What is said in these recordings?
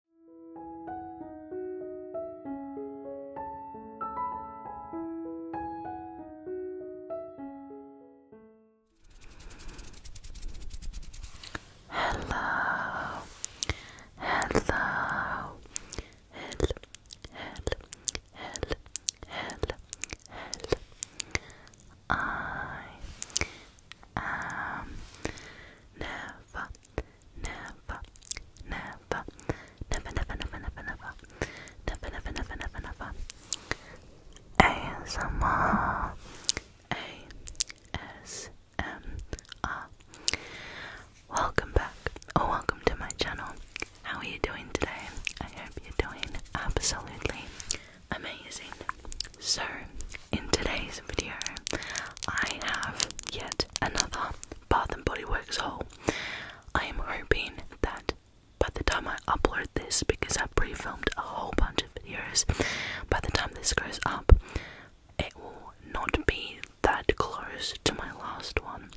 Hello, hello, hello, hello, hello, hello, hello. I am never never, never, never, never, never, never, never, never, never, never, never, never. Welcome back, or welcome to my channel. How are you doing today? I hope you're doing absolutely amazing. So, in today's video, I have yet another Bath and Body Works haul. I am hoping that by the time I upload this, because I pre-filmed a whole bunch of videos, by the time this goes up, it will not be that close to my last one.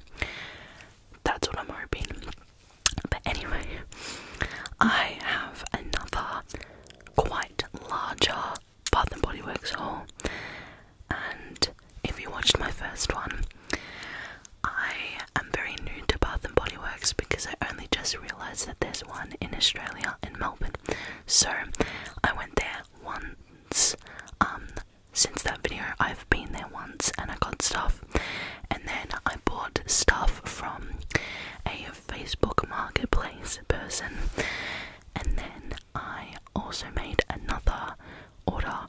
That's what I'm hoping. But anyway, I have another quite larger Bath and Body Works haul, and if you watched my first one, I am very new to Bath and Body Works because I only just realised that there's one in Australia in Melbourne. So I went there once. Um, since that video, I've been there once and I got stuff, and then I bought stuff from a Facebook marketplace person, and then I also made another order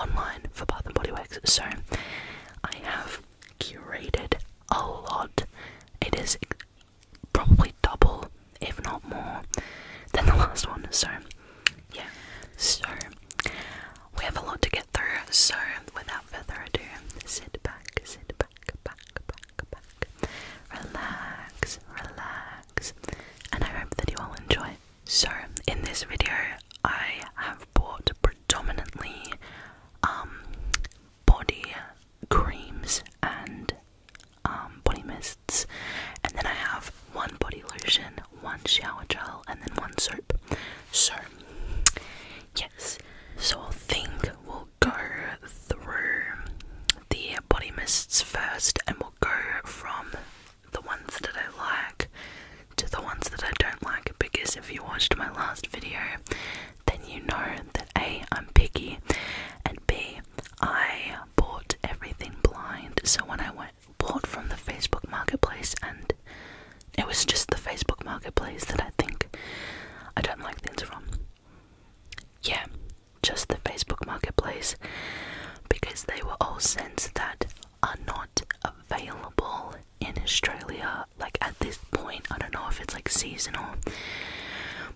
online for Bath and Body Works. So I have curated a lot. It is probably double, if not more, than the last one. So yeah. So we have a lot to get through. So without further ado, sit back, sit back, back, back, back. Relax, relax and I hope that you all enjoy. So, in this video, I have bought predominantly um, body creams and um, body mists, and then I have one body lotion, one shower gel, and then one soap. So, yes, so I think we'll go through the body mists first and we'll go from the ones that I like to the ones that I don't like because if you watched my last video, then you know that A, I'm picky, and B, I bought everything blind. So when I went, bought from the Facebook Marketplace, and it was just the Facebook Marketplace that I think I don't like things from. Yeah, just the Facebook Marketplace because they were all scents that are not available in Australia. Like at this point, I don't know if it's like seasonal,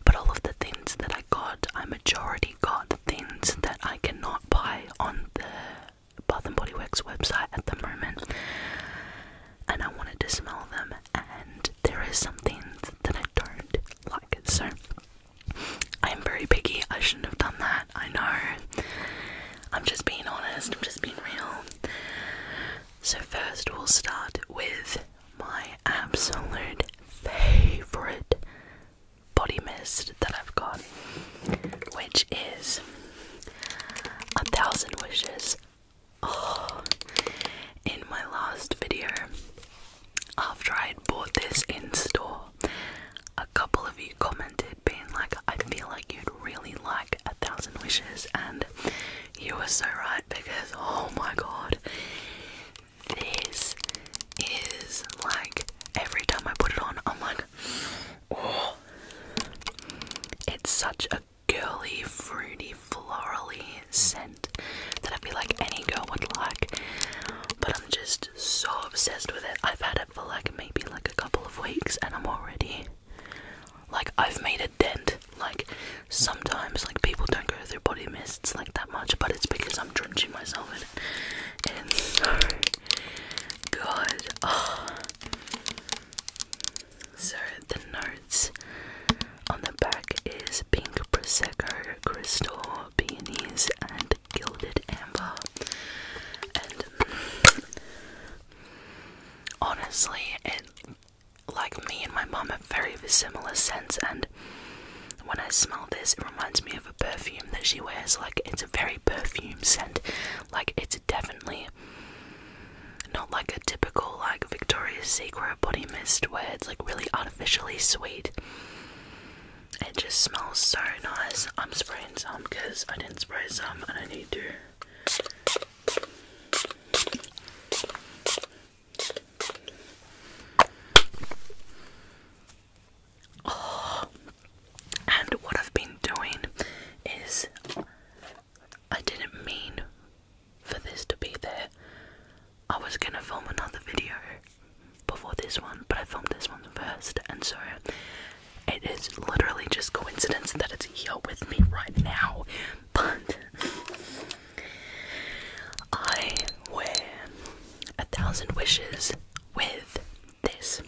but all of the things that I got, I majority got things that I cannot buy on the Bath and Body Works website at the moment. And I wanted to smell them, and there is some things that I don't like. So I'm very picky. I shouldn't have done that. I know. I'm just being honest. I'm just being real. So, first, we'll start with my absolute favorite body mist that I've got, which is A Thousand Wishes. Oh, in my last video, after I had bought this in store, a couple of you commented being like, I feel like you'd really like A Thousand Wishes, and you were so right because oh my god, this is like every time I put it on, I'm like, oh, it's such a girly, fruity, florally scent that I feel like any girl would like. But I'm just so obsessed with it. I've had it for like maybe like a couple of weeks and I'm already like I've made a dent. Like sometimes like people don't go through body mists like that much, but it's because I'm drenching myself in it. And so good. Oh. So the notes on the back is pink prosecco, crystal, peonies, and gilded amber. And mm, honestly, it like me and my mum have very similar scents, and when I smell this, it reminds me of a perfume that she wears. Like it's a very perfume scent. Like it's definitely not like a typical like Victoria's Secret body mist where it's like really artificially sweet. It just smells so nice. I'm spraying some because I didn't spray some and I need to. Oh, and what I've been doing is I didn't mean for this to be there. I was gonna film another video before this one, but I filmed this one first, and so it is literally just coincidence that it's here with me right now. But I wear a thousand wishes with this.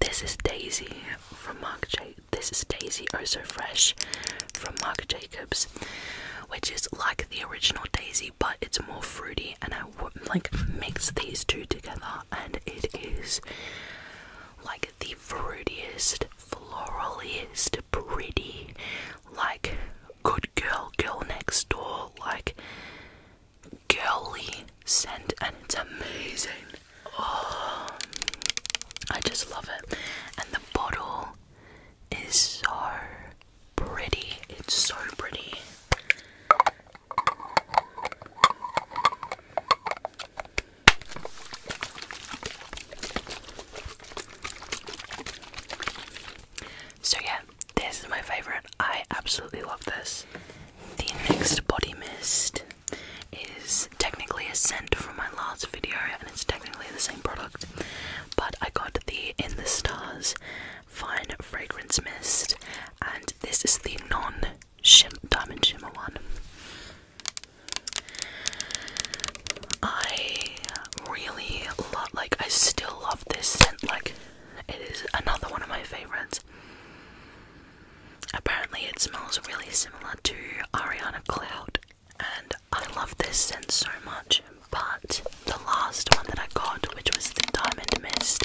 This is Daisy from Mark Jacobs. This is Daisy Oh Fresh from Marc Jacobs, which is like the original Daisy but it's more fruity, and I like mix these two together, and it is like the fruitiest, floraliest, pretty, like good girl, girl next door, like girly scent, and it's amazing. Oh, I just love it, and the bottle it's so pretty. It's so pretty. So, yeah, this is my favorite. I absolutely love this. The next body mist is technically a scent from my last video, and it's technically the same product, but I got the In the Stars Fine Fragrance Mist, and this is the non -shim diamond shimmer one. I really love, like, I still love this scent. Like, it is another one of my favorites. Apparently, it smells really similar to Ariana Cloud, and I love this scent so much. But the last one that I got, which was the Diamond Mist,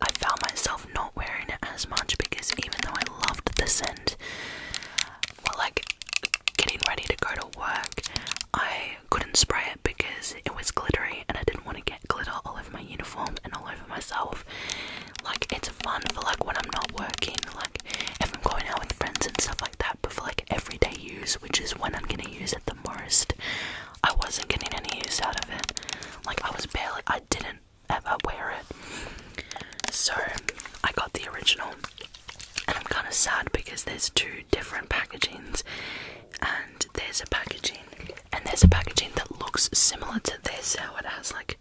I found myself not wearing it as much because even though I loved the scent, well, like getting ready to go to work, I couldn't spray it because it was glittery and I didn't want to get glitter all over my uniform and all over myself. Like, it's fun for like when I'm not working, like if I'm going out with friends and stuff like that, but for like everyday use, which is when I'm gonna use the most. I wasn't getting any use out of it. Like I was barely I didn't ever wear it. So I got the original and I'm kinda sad because there's two different packagings and there's a packaging and there's a packaging that looks similar to this how it has like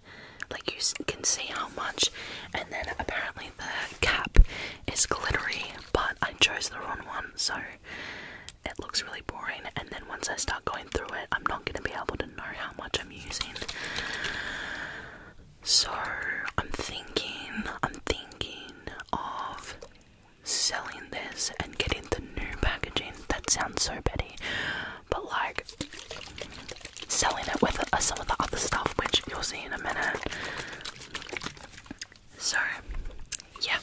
like you can see how much and then apparently the cap is glittery but I chose the wrong one so it looks really boring and then once I start going through it I'm not going to be able to know how much I'm using. So I'm thinking, I'm thinking of selling this and getting the new packaging. That sounds so petty, but like selling it with uh, some of the other stuff which you'll see in a minute. So, yeah.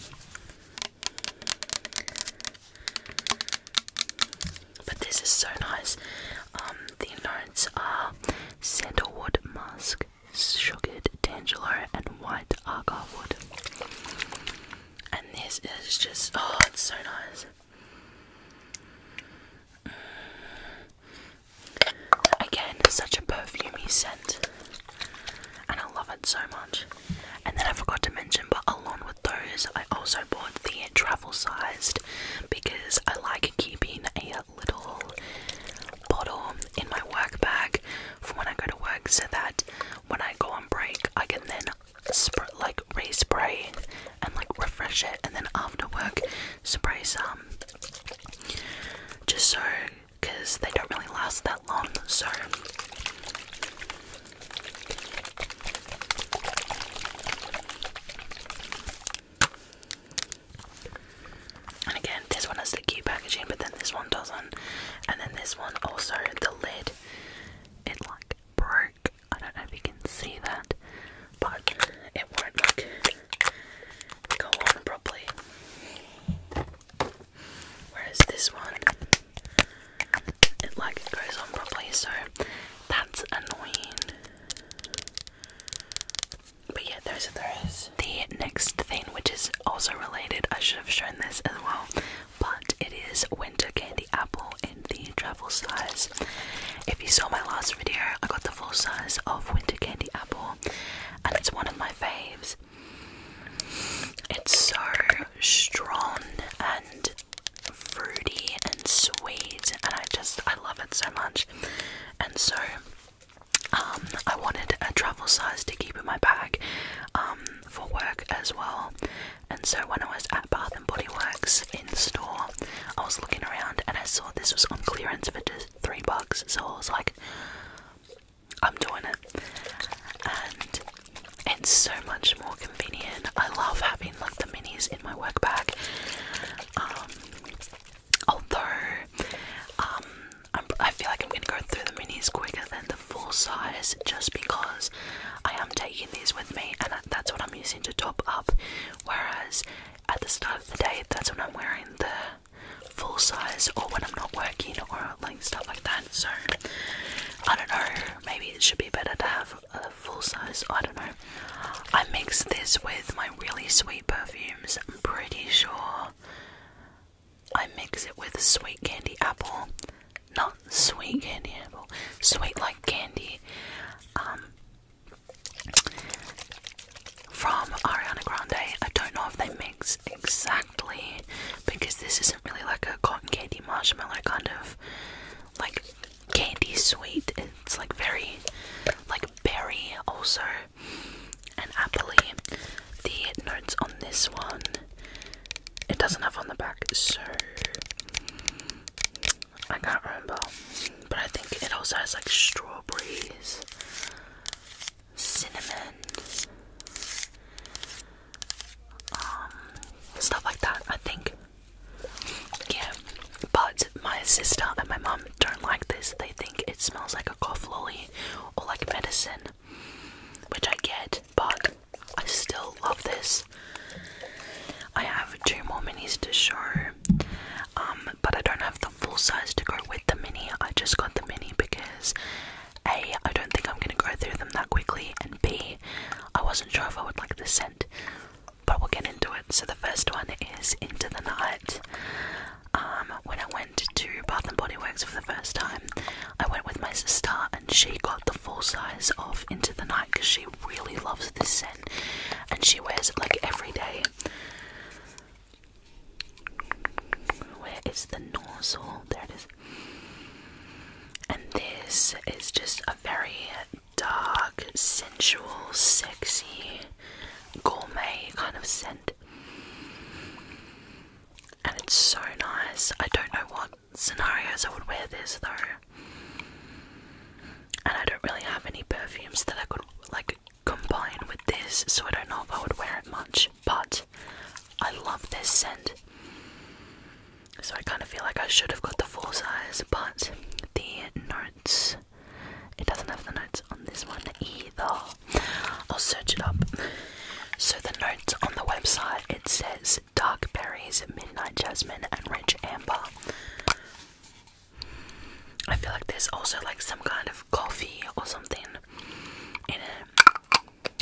But this is so nice. Um, the notes are sandalwood, musk, sugared tangelo, and white agarwood. And this is just oh, it's so nice. Mm. Again, such a perfumey scent and I love it so much. And then I forgot to mention, but along with those, I also bought the travel sized because I like keeping a little bottle in my work bag for when I go to work so that when I go on break, I can then spray, like respray and like refresh it, and then after work, spray some just so because they don't really last that long, so and again, this one has the packaging, but then this one doesn't. And then this one also, the lid, it like broke. I don't know if you can see that, but it won't like go on properly. Whereas this one, it like goes on properly, so that's annoying. But yeah, there is are those. The next thing, which is also related, I should have shown this as well, but it is winter candy apple in the travel size. If you saw my last video, I got the full size of winter candy apple, and it's one of my faves. It's so strong and fruity and sweet, and I just I love it so much. And so, um, I wanted a travel size to keep in my bag, um, for work as well. And so when I was at Bath and Body Works in store, I was looking around and I saw this was on clearance for just three bucks. So I was like, I'm doing it. And it's so much more convenient. I love having like the minis in my work bag. Um, although, um, I feel like I'm going to go through the minis quicker than the full size just because I am taking these with me and that's what I'm using to top up. Whereas at the start of the day, that's when I'm wearing the full size or when I'm not working or like stuff like that. So I don't know, maybe it should be better to have a full size. I don't know. I mix this with my really sweet perfumes, I'm pretty sure. I mix it with sweet candy apple, not sweet candy apple, sweet like candy, um, from Ariana Grande. I don't know if they mix exactly because this isn't really like a cotton candy marshmallow kind of like candy sweet. It's like very like berry also and appley. The notes on this one it doesn't have on the back, so I can't remember. But I think it also has like strawberries cinnamon, um, stuff like that. I think, yeah. But my sister and my mom don't like this. They think it smells like a cough lolly or like medicine, which I get. But I still love this. I have two more minis to show, um, but I don't have the full size to go with the mini. I just got the mini because a, I don't think I'm gonna grow through them that quickly, and B, I wasn't sure if I would like the scent, but we'll get into it. So the first one is Into the Night. Um, when I went to Bath and Body Works for the first time, I went with my sister and she got the full size of Into the Night because she really loves this scent and she wears it like every day. Where is the nozzle? There it is. And this is just a very dark, sensual, sexy, gourmet kind of scent. And it's so nice. I don't know what scenarios I would wear this though. And I don't really have any perfumes that I could like combine with this, so I don't know if I would wear it much but I love this scent. So I kind of feel like I should have got the full size, but the notes, it doesn't have the notes on this one either. I'll search it up. So the notes on the website it says dark berries, midnight jasmine, and rich amber. I feel like there's also like some kind of coffee or something in it.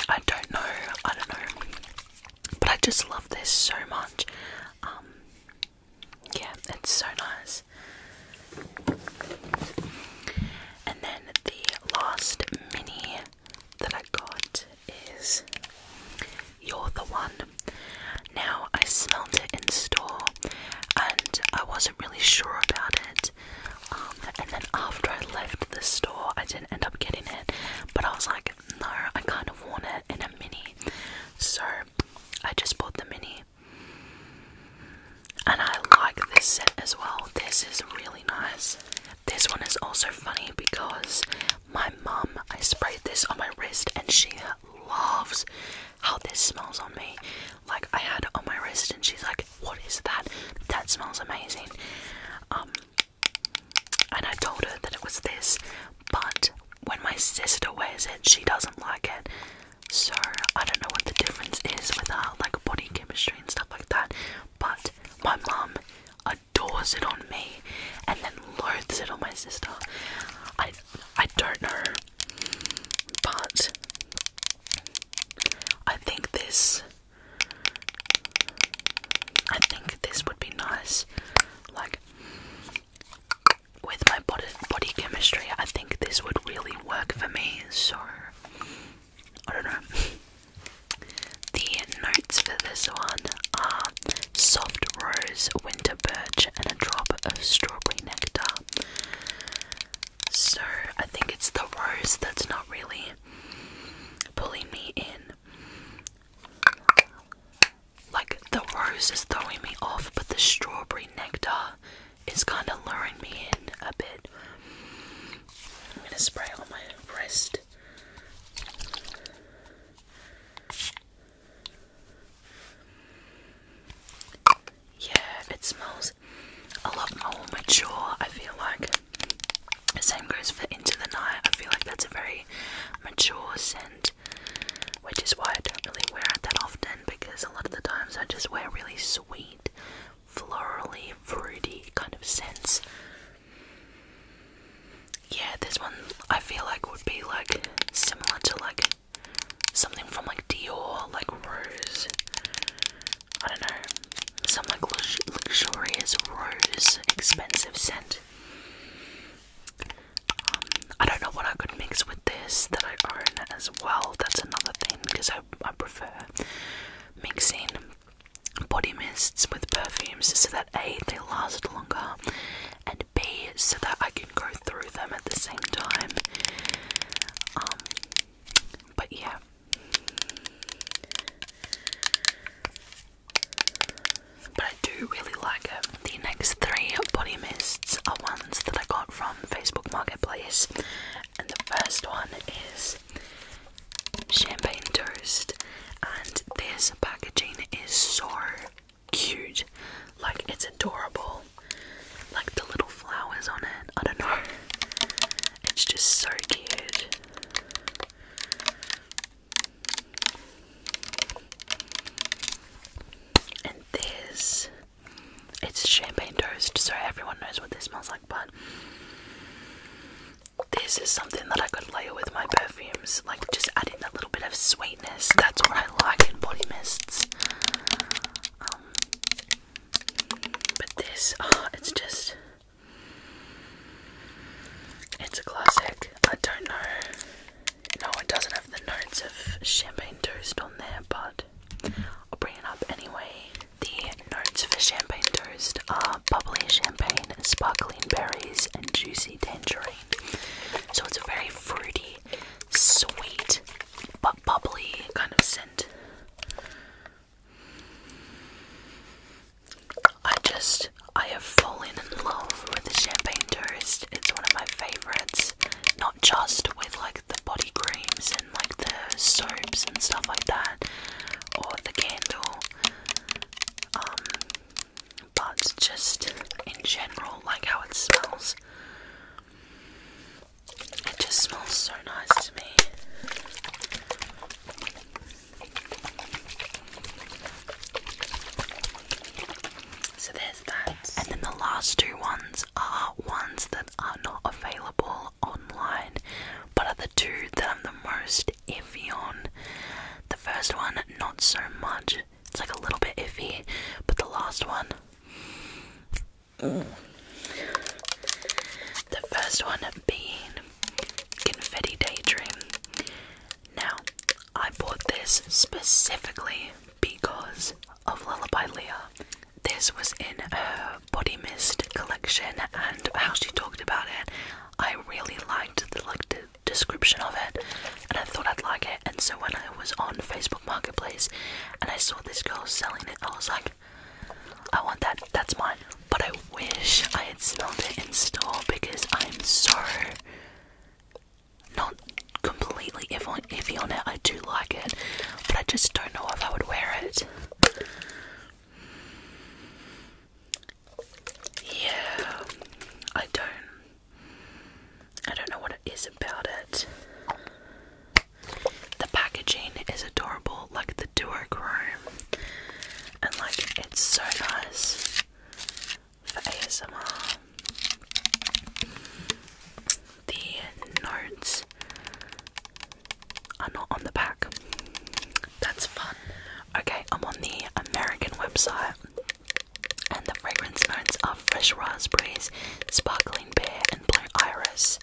I don't know, I don't know, but I just love this so much. Um, yeah, it's so nice. And then the last mini that I got is You're the One. Now, I smelled it in store and I wasn't really sure about it. Um, and then after I left the store, I didn't end up getting it, but I was like, no, I kind of want it in a mini. So I just bought the mini. And I like this set as well. This is really nice. This one is also funny because my mum, I sprayed this on my wrist and she loves how this smells on me. Like I had it on my wrist and she's like, what is that? That smells amazing. Um, and I told her that it was this, but when my sister wears it, she doesn't like it. So I don't know what the difference is with her, like body chemistry and stuff like that. But my mum adores it on me, and then loathes it on my sister. I I don't know, but I think this I think this would be nice, like with my body, chemistry. I think this would really work for me, so I don't know. The notes for this one are soft rose, winter birch, and a drop of strawberry nectar. So I think it's the rose that's not really pulling me in. Like the rose is throwing me off, but the strawberry nectar is kind of luring me in a bit. I'm gonna spray on my wrist. Yeah, it smells a lot more mature, I feel like. The same goes for Into the Night. I feel like that's a very mature scent, which is why I don't really wear it that often because a lot of the times I just wear really sweet, florally, fruity kind of scents. Yeah, this one I feel like would be like similar to like something from like Dior, like Rose, I don't know, some like luxurious rose expensive scent. Um, I don't know what I could mix with this that I own as well. That's another thing because I, I prefer mixing body mists with perfumes so that A, they last longer, and B, so that I can go through them at the same time. Um, but yeah. But I do really like it. Um, the next three body mists are ones that I got from Facebook Marketplace. And the first one is Champagne Toast. And this packaging is so cute. Like, it's adorable. Like the little flowers on it. I don't know. It's just so cute. And this it's champagne toast, so everyone knows what this smells like, but this is something that I could layer with my perfumes, like just adding a little bit of sweetness. That's what I like in body mists. Um, but this, oh, it's just it's a classic. I don't know. No, it doesn't have the notes of champagne toast on there, but I'll bring it up anyway. The notes for champagne toast are bubbly champagne, sparkling berries, and juicy tangerine. So it's a very fruity, sweet, but bubbly kind of scent. I just, I have fallen in love with the champagne toast. It's one of my favorites. Not just with like the body creams and like the soaps and stuff like that, or the candle, um, but just in general, like how it smells. It just smells so nice to me. So there's that. And then the last two ones are ones that are not available online, but are the two that I'm the most iffy on. The first one, not so much. It's like a little bit iffy, but the last one. Mm, the first one being Confetti Daydream. Now, I bought this specifically because of Lullaby Leah. This was in her body mist collection and how she talked about it. I really liked the like the description of it and I thought I'd like it and so when I was on Facebook Marketplace and I saw this girl selling it I was like I want that. That's mine. But I wish I had smelled it in store because I'm so not completely iffy on it. I do like it, but I just don't know if I would wear it. Yeah, I don't. I don't know what it is about it. The packaging is adorable, like the Duoc room, and like it's so nice for ASMR. The notes are not on the back. That's fun. Okay, I'm on the American website, and the fragrance notes are fresh raspberries, sparkling pear, and blue iris.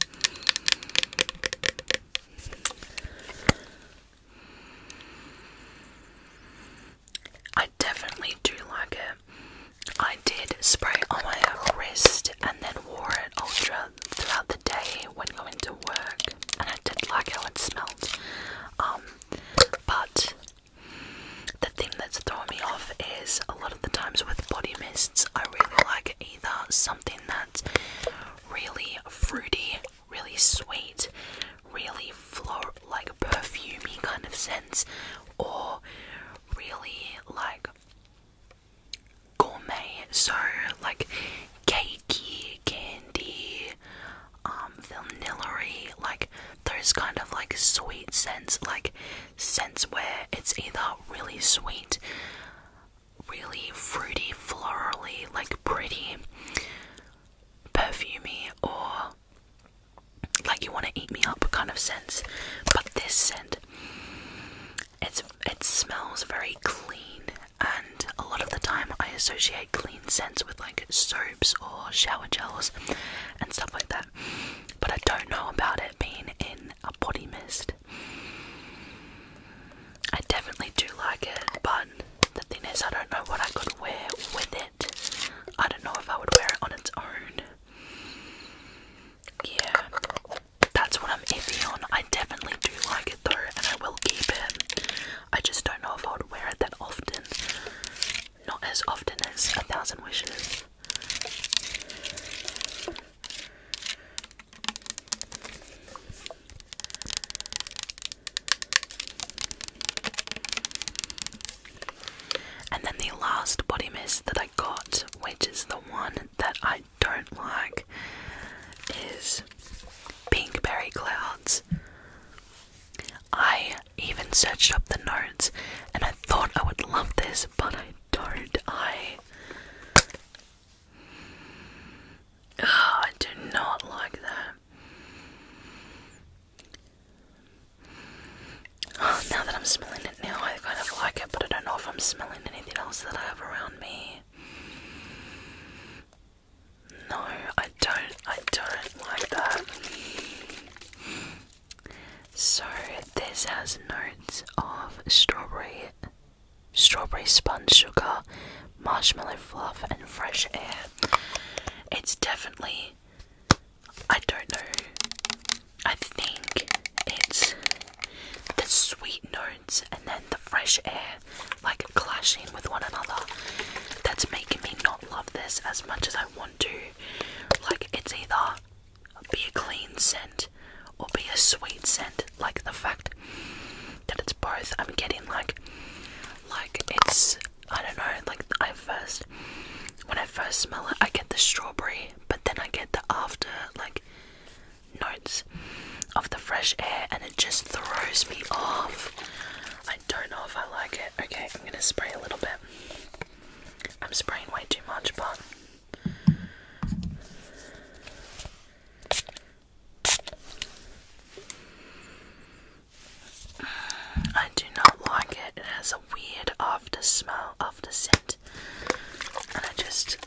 I definitely do like it. I did spray on my wrist and then wore it ultra throughout the day when going to work, and I did like how it smelled. Um, but the thing that's throwing me off is a lot of the times with body mists, I really like either something that really fruity, really sweet, really floral, like perfumy kind of scents, or really like gourmet, so like cakey, candy, um, vanillary, like those kind of like sweet scents, like scents where it's either really sweet really fruity, florally, like pretty, perfumy, or like you want to eat me up kind of sense. But this scent, it's it smells very clean, and a lot of the time I associate clean scents with like soaps or shower gels and stuff like that. But I don't know about it being in a body mist. I definitely do like it, but the thing is, I don't know what I could wear with it. I don't know if I would wear it on its own. Yeah, that's what I'm iffy on. I definitely do like it though, and I will keep it. I just don't know if I would wear it that often. Not as often as A Thousand Wishes. And then the last body mist that I got, which is the one that I don't like, is Pink Berry Clouds. I even searched up the notes and I thought I would love this, but I don't. I Oh, I do not like that. Oh, now that I'm smelling it now, I kind of like it, but I don't know if I'm smelling anything else that I have around me. No, I don't. I don't like that. So this has notes of strawberry, strawberry sponge sugar, marshmallow fluff, and fresh air. It's definitely, I don't know, I think it's the sweet notes and then the fresh air like clashing with one another. That's making me not love this as much as I want to. Like, it's either be a clean scent or be a sweet scent, like the fact that it's both. I'm getting like, like it's I don't know. Like I first, when I first smell it, I get the strawberry, but then I get the after like notes of the fresh air, and it just throws me off. I don't know if I like it. Okay, I'm gonna spray a little bit. I'm spraying way too much, but. I do not like it. It has a weird after smell, after scent, and I just.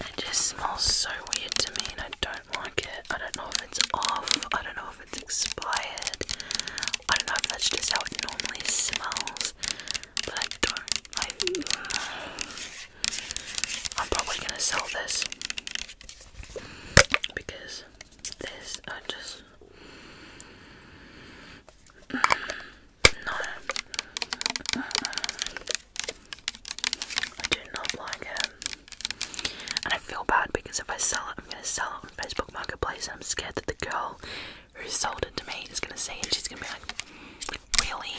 It just smells so weird to me, and I don't like it. I don't know if it's off, I don't know if it's expired, I don't know if that's just how it normally smells but I don't. Uh, I'm probably gonna sell this because this I just no. I do not like it. And I feel bad because if I sell it, I'm gonna sell it on Facebook Marketplace. And I'm scared that the girl who sold it to me is gonna see it and she's gonna be like, really?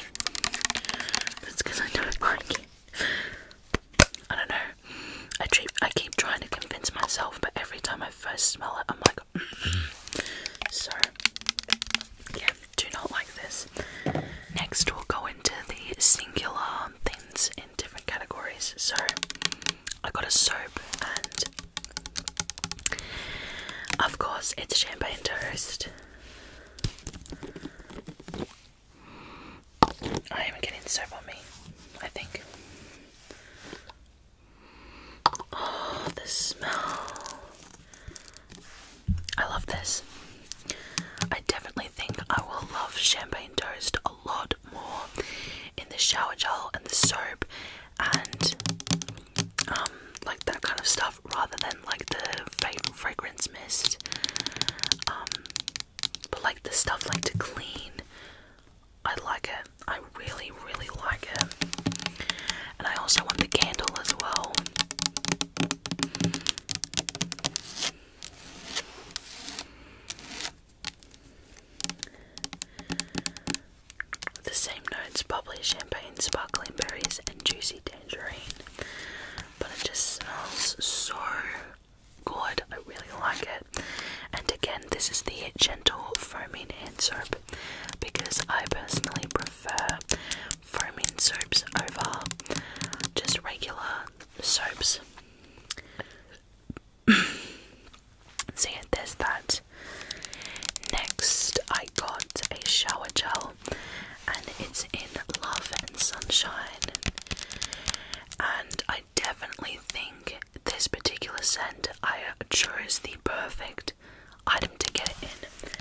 That's because I don't like it. I don't know. I keep, trying to convince myself, but every time I first smell it, I'm like, mm -hmm. so yeah, do not like this. Next, we'll go into the singular things in different categories. So I got a soap and of course, it's champagne toast. I oh, am getting soap on me, I think. Oh, the smell. I love this. I definitely think I will love champagne toast a lot more in the shower gel and the soap and um, like that kind of stuff, rather than like the favorite fragrance mist. Um, but like the stuff like to clean, I like it. I really, really like it. And I also want the candle as well. The same notes bubbly champagne, sparkling berries, and juicy tangerine. But it just smells so good. I really like it. And again, this is the gentle foaming hand soap because I personally prefer foaming soaps over just regular soaps. See yeah, there's that. Next, I got a shower gel, and it's in Love and Sunshine. And I definitely think this particular scent, I chose the perfect item to get in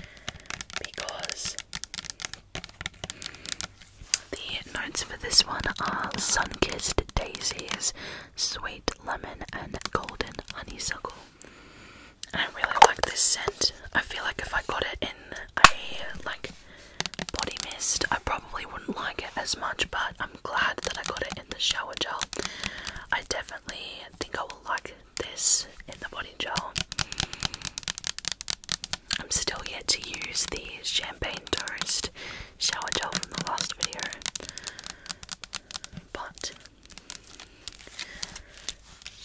because the notes for this one are sun kissed daisies, sweet lemon, and golden honeysuckle. I really like this scent. I feel like if I got it in a like body mist, I probably wouldn't like it as much, but I'm glad that I got it in the shower gel. I definitely think I will like this in the body gel. I'm still yet to use the champagne toast shower gel from the last video. But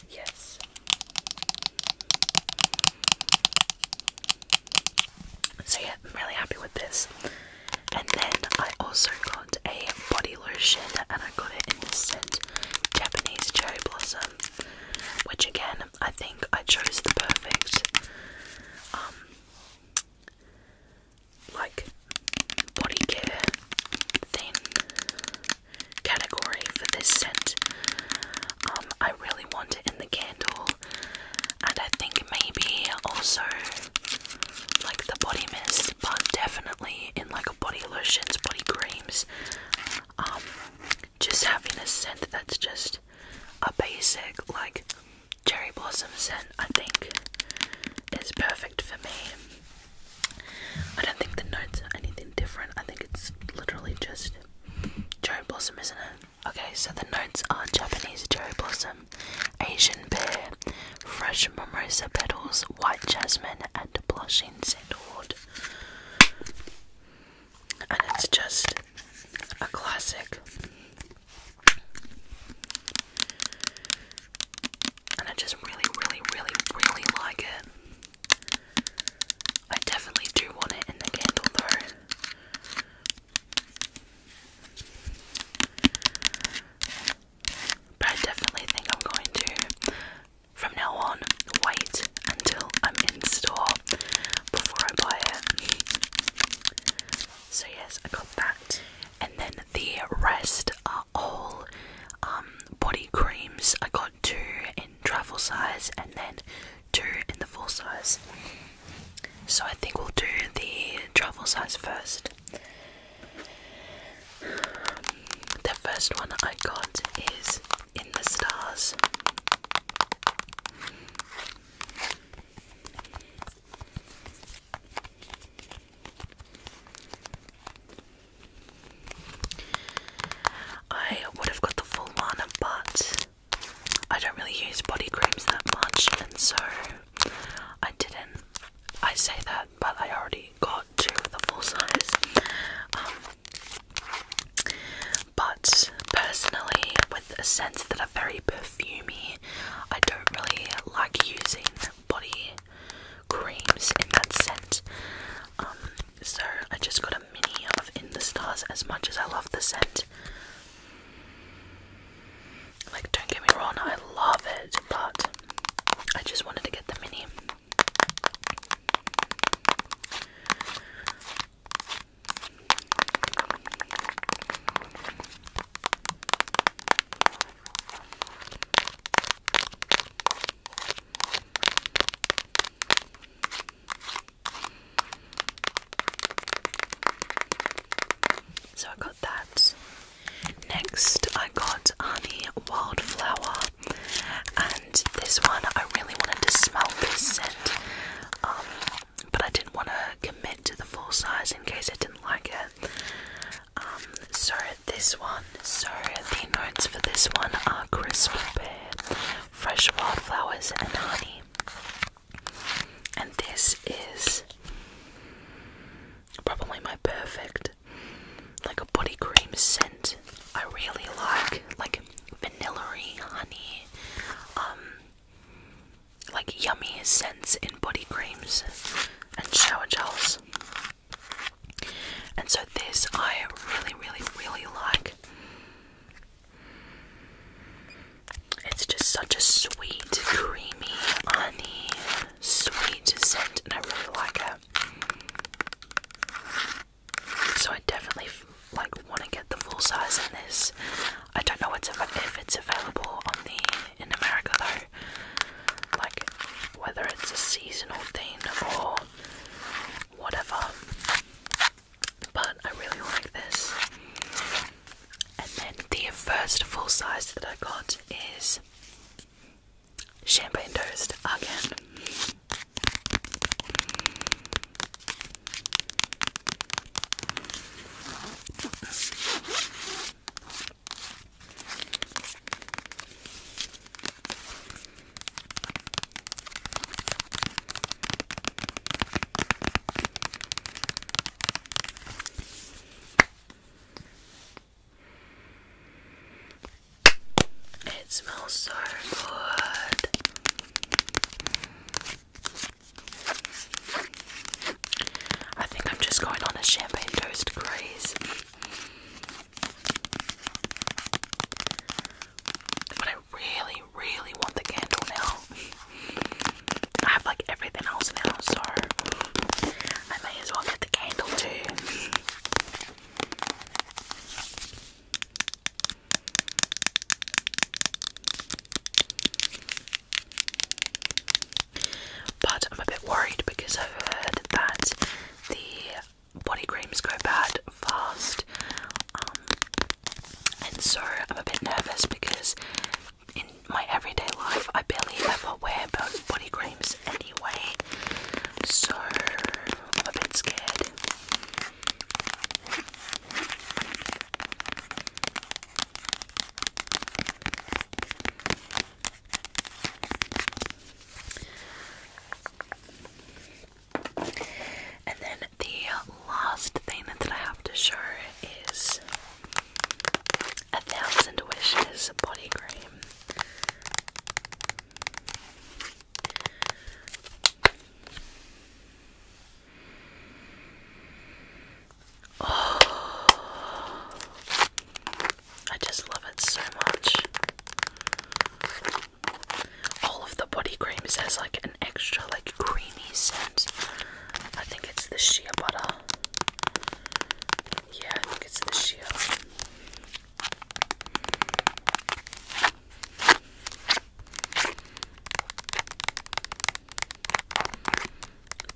Yes. So yeah, I'm really happy with this. And then I also got a body lotion and I got it in the scent Japanese Cherry Blossom. Which again I think I chose the perfect um, like body care thing category for this scent. Um, I really want it in the candle, and I think maybe also like the body mist, but definitely in like a body lotions, body creams. Um, just having a scent that's just a basic like cherry blossom scent, I think, is perfect for me. I don't think the notes are anything different. I think it's literally just cherry blossom, isn't it? Okay, so the notes are Japanese cherry blossom, Asian pear, fresh mimosa petals, white jasmine, and blushing sandalwood. And it's just a classic and I just really, really, really, really like it. I definitely do want it in the candle though. But I definitely think I'm going to, from now on, wait until I'm in store before I buy it. So, yes, I got that. And then the rest are whole um, body creams. I got two in travel size and then two in the full size. So I think we'll do the travel size first. The first one I got is In the Stars. I would have got the full one, but I don't really use body creams that much, and so I didn't. I say that, but I already got two of the full size. Um, but personally, with a sense that are very perfumy, I don't really like using body creams in that scent. Um, so I just got a mini of In the Stars as much as I love the scent. Like, don't get me wrong, I love it, but I just wanted to get the mini. So I got that. Next, I got Honey Wildflower, and this one I really wanted to smell this scent, um, but I didn't want to commit to the full size in case I didn't like it. Um, so this one, so the notes for this one are crisp pear, fresh wildflowers, and honey. And this is probably my perfect, like a body cream scent. I really like, like vanillary honey, um, like yummy scents in body creams and shower gels. And so this I really, really, really like. It's just such a sweet, creamy, honey, sweet scent, and I really like it. So I definitely like want to get the full size of this. I don't know if it's available on the in America though. Like whether it's a seasonal thing or whatever. But I really like this. And then the first full size that I got is Champagne Toast again. It smells so good. I think I'm just going on a champagne toast Grace. But I really, really want the candle now. I have like everything else now, so I may as well get the candle too. But I'm a bit worried because I've heard that the body creams go bad fast, um, and so I'm a bit nervous because in my everyday life I barely ever wear body creams anyway, so I'm a bit scared. And then the last thing that I have to show is a thousand wishes body cream. Oh, I just love it so much. All of the body creams has like an extra like creamy scent. I think it's the shea butter. Yeah, I think it's the shea.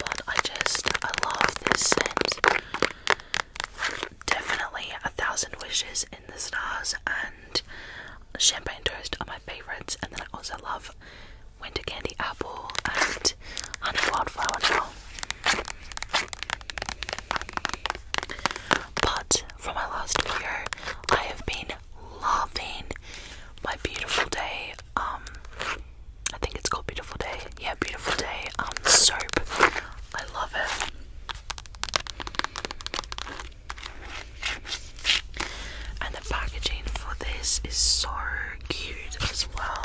But I just I love this scent. Definitely a thousand wishes in the stars and champagne toast are my favorites. And then I also love winter candy apple and honey wildflower now. But for my last video, I have been loving my beautiful day. Um, I think it's called beautiful day. Yeah, beautiful day. Um, soap. I love it. And the packaging for this is so cute as well.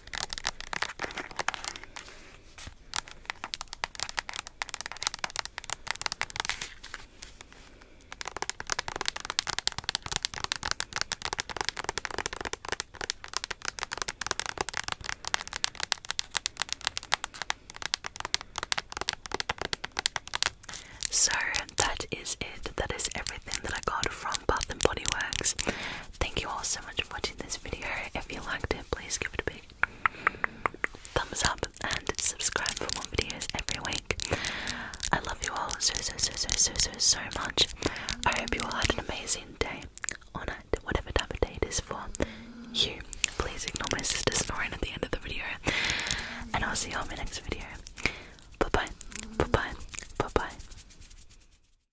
So that is it. That is everything that I got from Bath and Body Works. Thank you all so much for watching this video. If you liked it, please give it a big thumbs up and subscribe for more videos every week. I love you all so so so so so so so much. I hope you all had an amazing day or night, whatever type of day it is for you. Please ignore my sister snoring at the end of the video. And I'll see you on my next video. Bye bye. Bye bye. Bye bye.